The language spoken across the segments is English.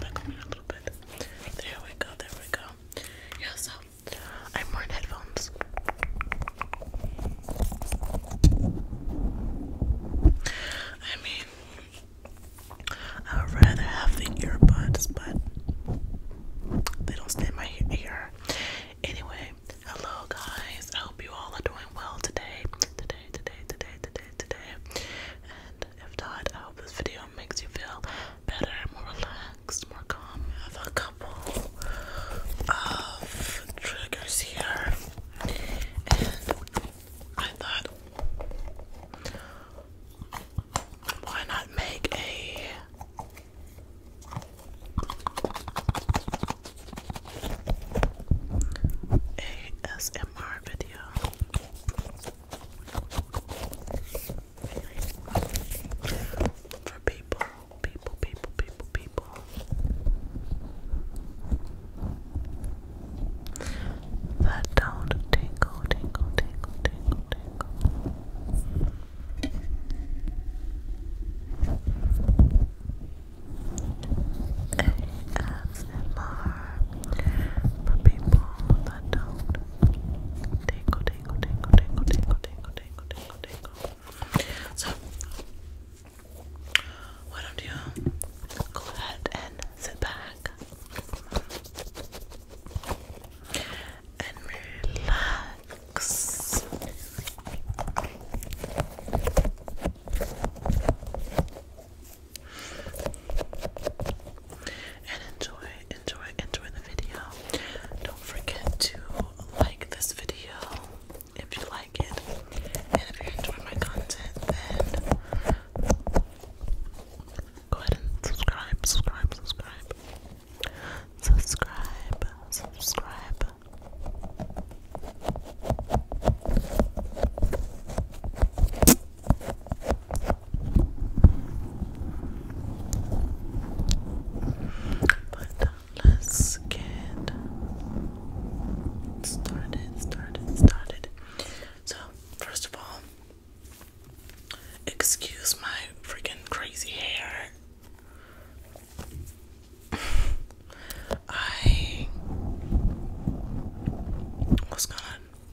Back a little bit. There we go, there we go. Yeah, so I'm wearing headphones. I mean, I would rather have the earbuds, but they don't stay my ear. Anyway, hello guys. I hope you all are doing well today. Today, today, today, today, today. If not, I hope this video makes you feel better, more relaxed, more calm. have a couple of triggers here, and I thought, why not make a ASMR video? for people, people, people, people, people. That don't tingle, tingle, tingle, tingle, tingle. ASMR for people that don't tingle, tingle, tingle, tingle, tingle, tingle, tingle, tingle, tingle. So, why don't you go ahead and sit back and relax? and enjoy, enjoy, enjoy the video. Don't forget to like this video if you like it, and if you enjoy my content, then go ahead and subscribe, subscribe, subscribe, subscribe, subscribe. But uh, let's get started, started, started. So, first of all, excuse my freaking crazy hair. I was gonna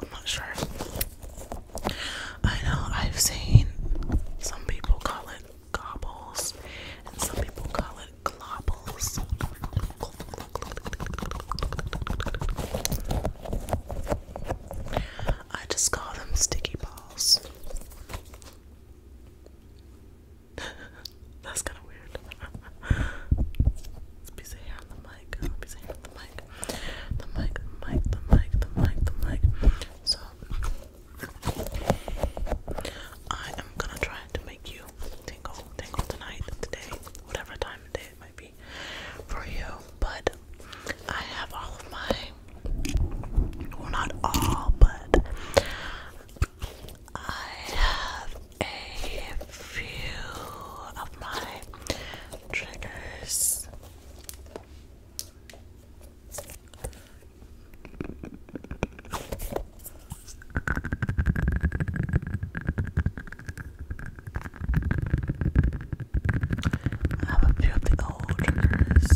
I'm not sure. I know I've seen some people call it gobbles and some people call it globbles. I just call them sticky balls. That's kind of weird. it's busy on the mic. I the mic, the mic, the mic, the mic, the mic, the mic. So I am gonna try to make you tingle, tingle tonight, today, whatever time of day it might be for you. But I have all of my, well, not all, but I have a few of my triggers I have a few of the old triggers.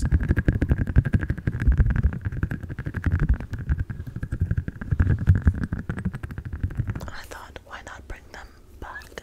I thought, why not bring them back?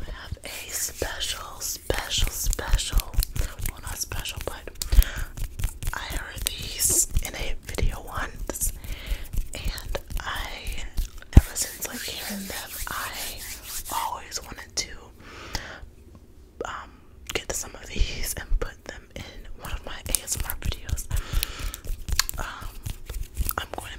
I have a special, special, special, well not special, but I heard these in a video once, and I, ever since like hearing them, I always wanted to um, get some of these and put them in one of my ASMR videos. Um, I'm going to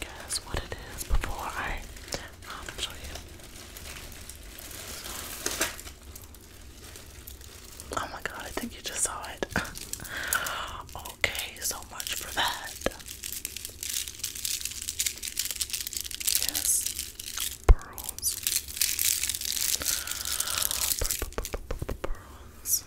guess what it is before I um, show you. oh my god, I think you just saw it. okay, so much for that. Yes, pearls. Pearls.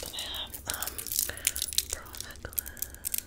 Then I have um pearl necklace.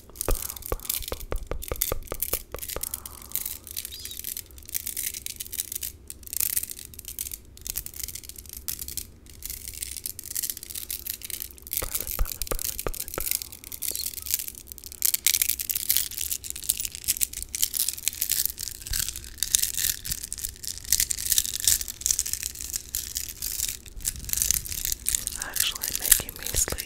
Actually making me sleep.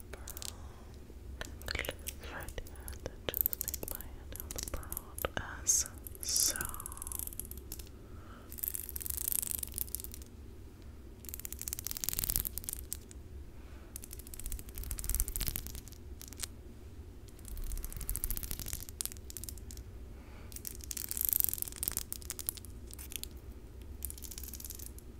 the pearl. Right and just take my hand on the pearl as so.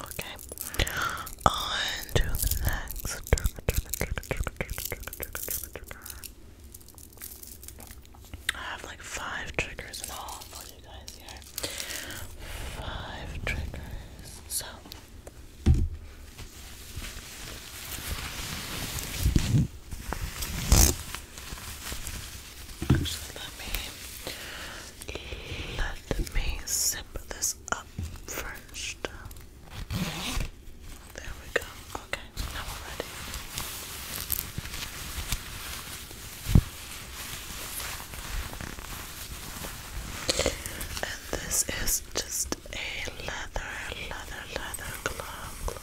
Okay. On to the next I have like five triggers in all for you guys here. Five triggers. So Actually, let me let me simmer this up first. There we go. Okay, now we're ready. And this is just a leather, leather, leather glove.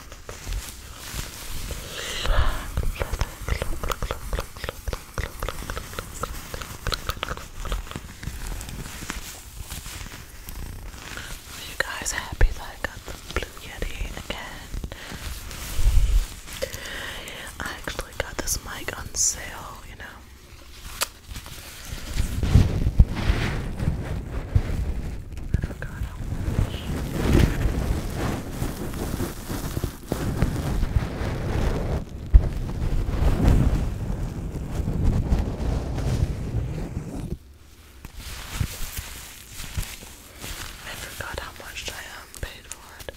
Are you guys happy that I got the Blue Yeti again? I actually got this mic on sale, you know. I forgot how much. I forgot how much I um, paid for it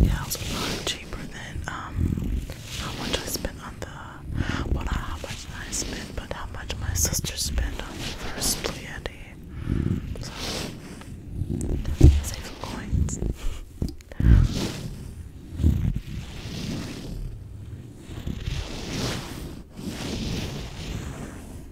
yeah, it a lot cheaper than um how much I spent on the well how much I spent, but how much my sister spent on the first Pleiade. save some coins.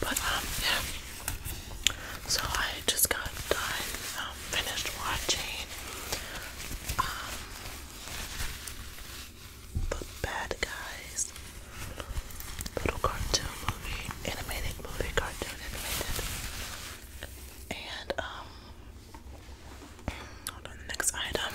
But um yeah. So I just got done um, finished watching um, the bad guys little cartoon movie, animated movie, cartoon animated. And um next item.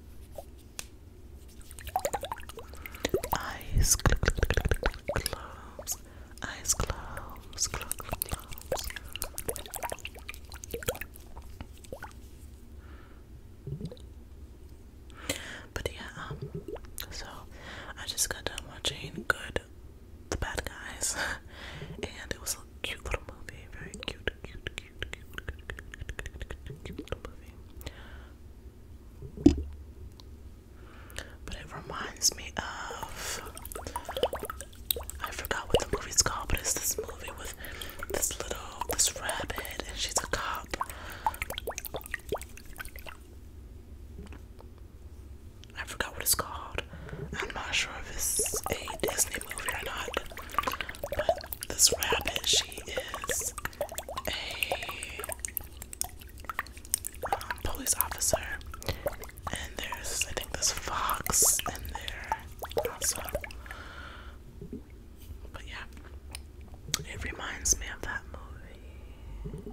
Eyes cl cl cl Eyes close. But yeah, um, so I just got done watching Good, the Bad Guys, and it was a cute little movie, very cute, cute, cute. But it reminds me of I forgot what the movie's called, but it's this movie with this little this rabbit and she's a cop. I forgot what it's called. I'm not sure if it's a Disney movie or not, but this rabbit, she is a um, police officer, and there's I think this fox in there also. But yeah, it reminds me of that movie.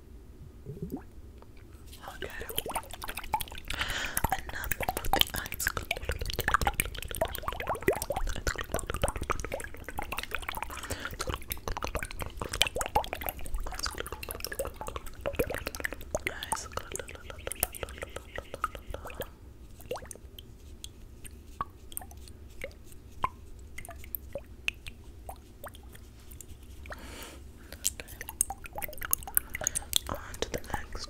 Okay. Enough about the eyes. Eyes. On to the next.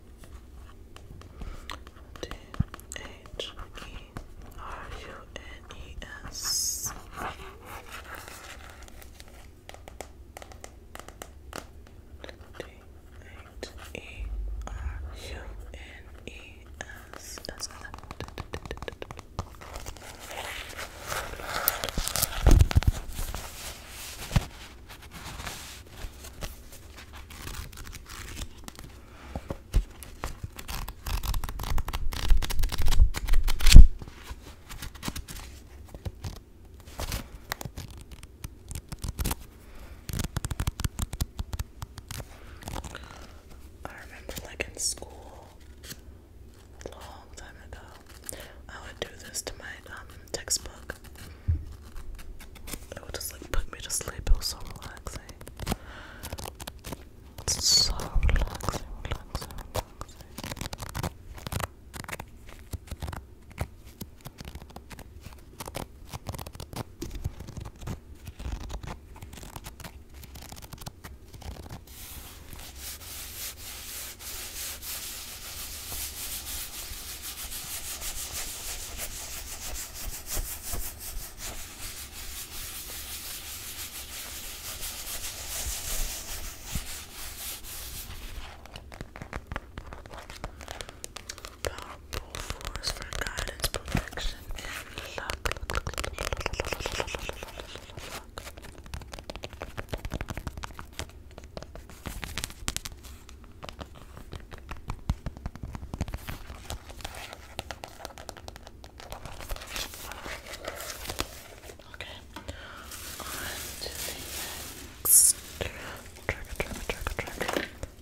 D H E R U N E S. D H E R U N E S. I remember, like in school, a long time ago, I would do this to my um, textbook. It would just like put me to sleep. It was so relaxing. so relaxing, relaxing. Powerful force for guidance, protection, and luck. luck. Okay, on to the next trigger, trigger, trigger, trigger.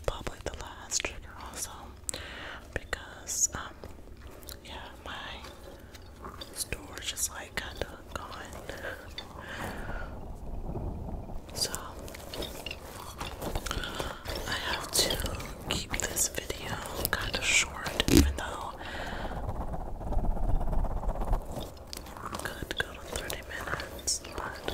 Probably the last trigger also, because um, yeah, my storage is like kind of gone. So I have to keep this video kind of short, even though I could go to 30 minutes, but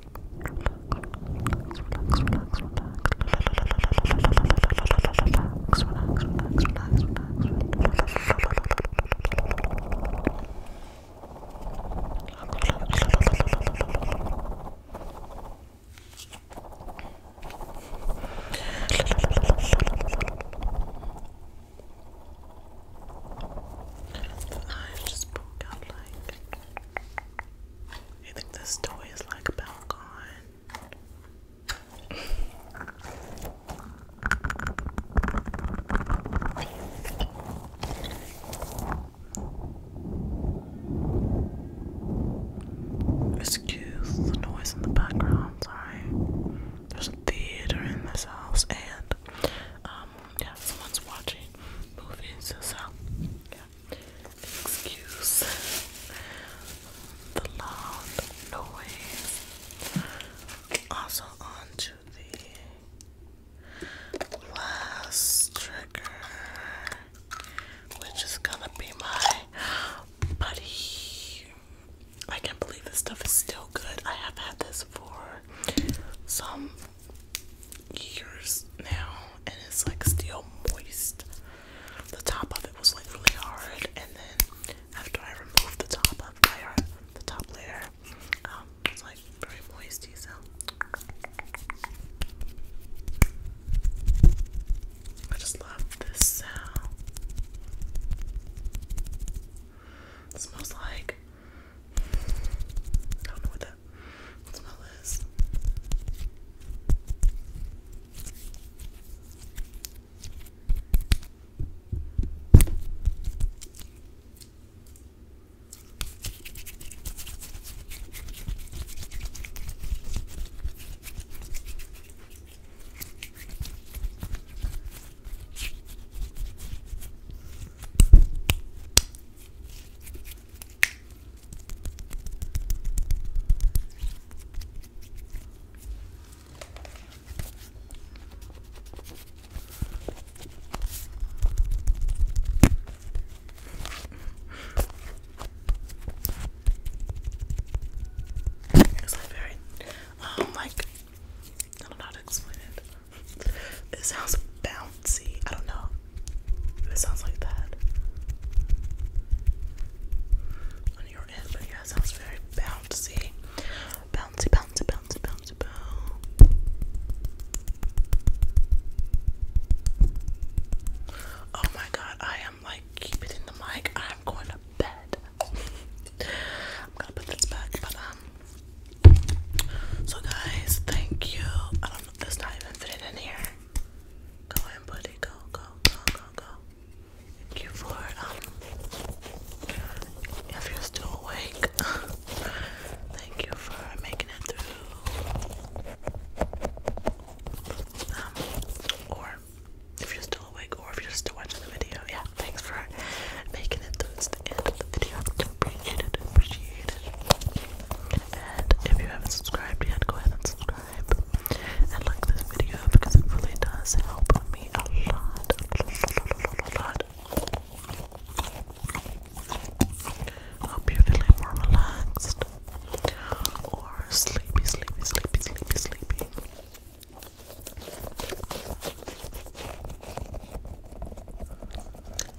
I just broke out like I think this toy is like about Excuse the noise in the background, sorry. There's a theater in this house and um yeah someone's watching movies so Excuse the loud noise. Also on the last trigger, which is gonna be my buddy. I can't believe this stuff is still good. I have had this for some years now, and it's like still moist. The top of it was like really hard, and then after I removed the top of layer, uh, the top layer, um, like very moisty. So I just love this sound. It smells like I don't know what that smell is. It's like very, um, like I don't know how to explain it. It sounds bouncy. I don't know. It sounds like that on your end, but yeah, it sounds very bouncy. Bouncy, bouncy, bouncy, bouncy, Oh my god, I am like, keep in the mic. I'm going to bed. I'm gonna put this back, but um. So, guys, thank you. That's not even fitting in here. Go and Go, go, go, go, go. Thank you for um if you're still awake. Thank you for making it through. Um or if you're still awake or if you're still watching the video, yeah, thanks for making it through to the end of the video. Appreciate it, and if you haven't subscribed yet, go ahead and subscribe and like this video because it really does help me a lot. Hope you're feeling more relaxed or sleepy, sleepy, sleepy, sleepy, sleepy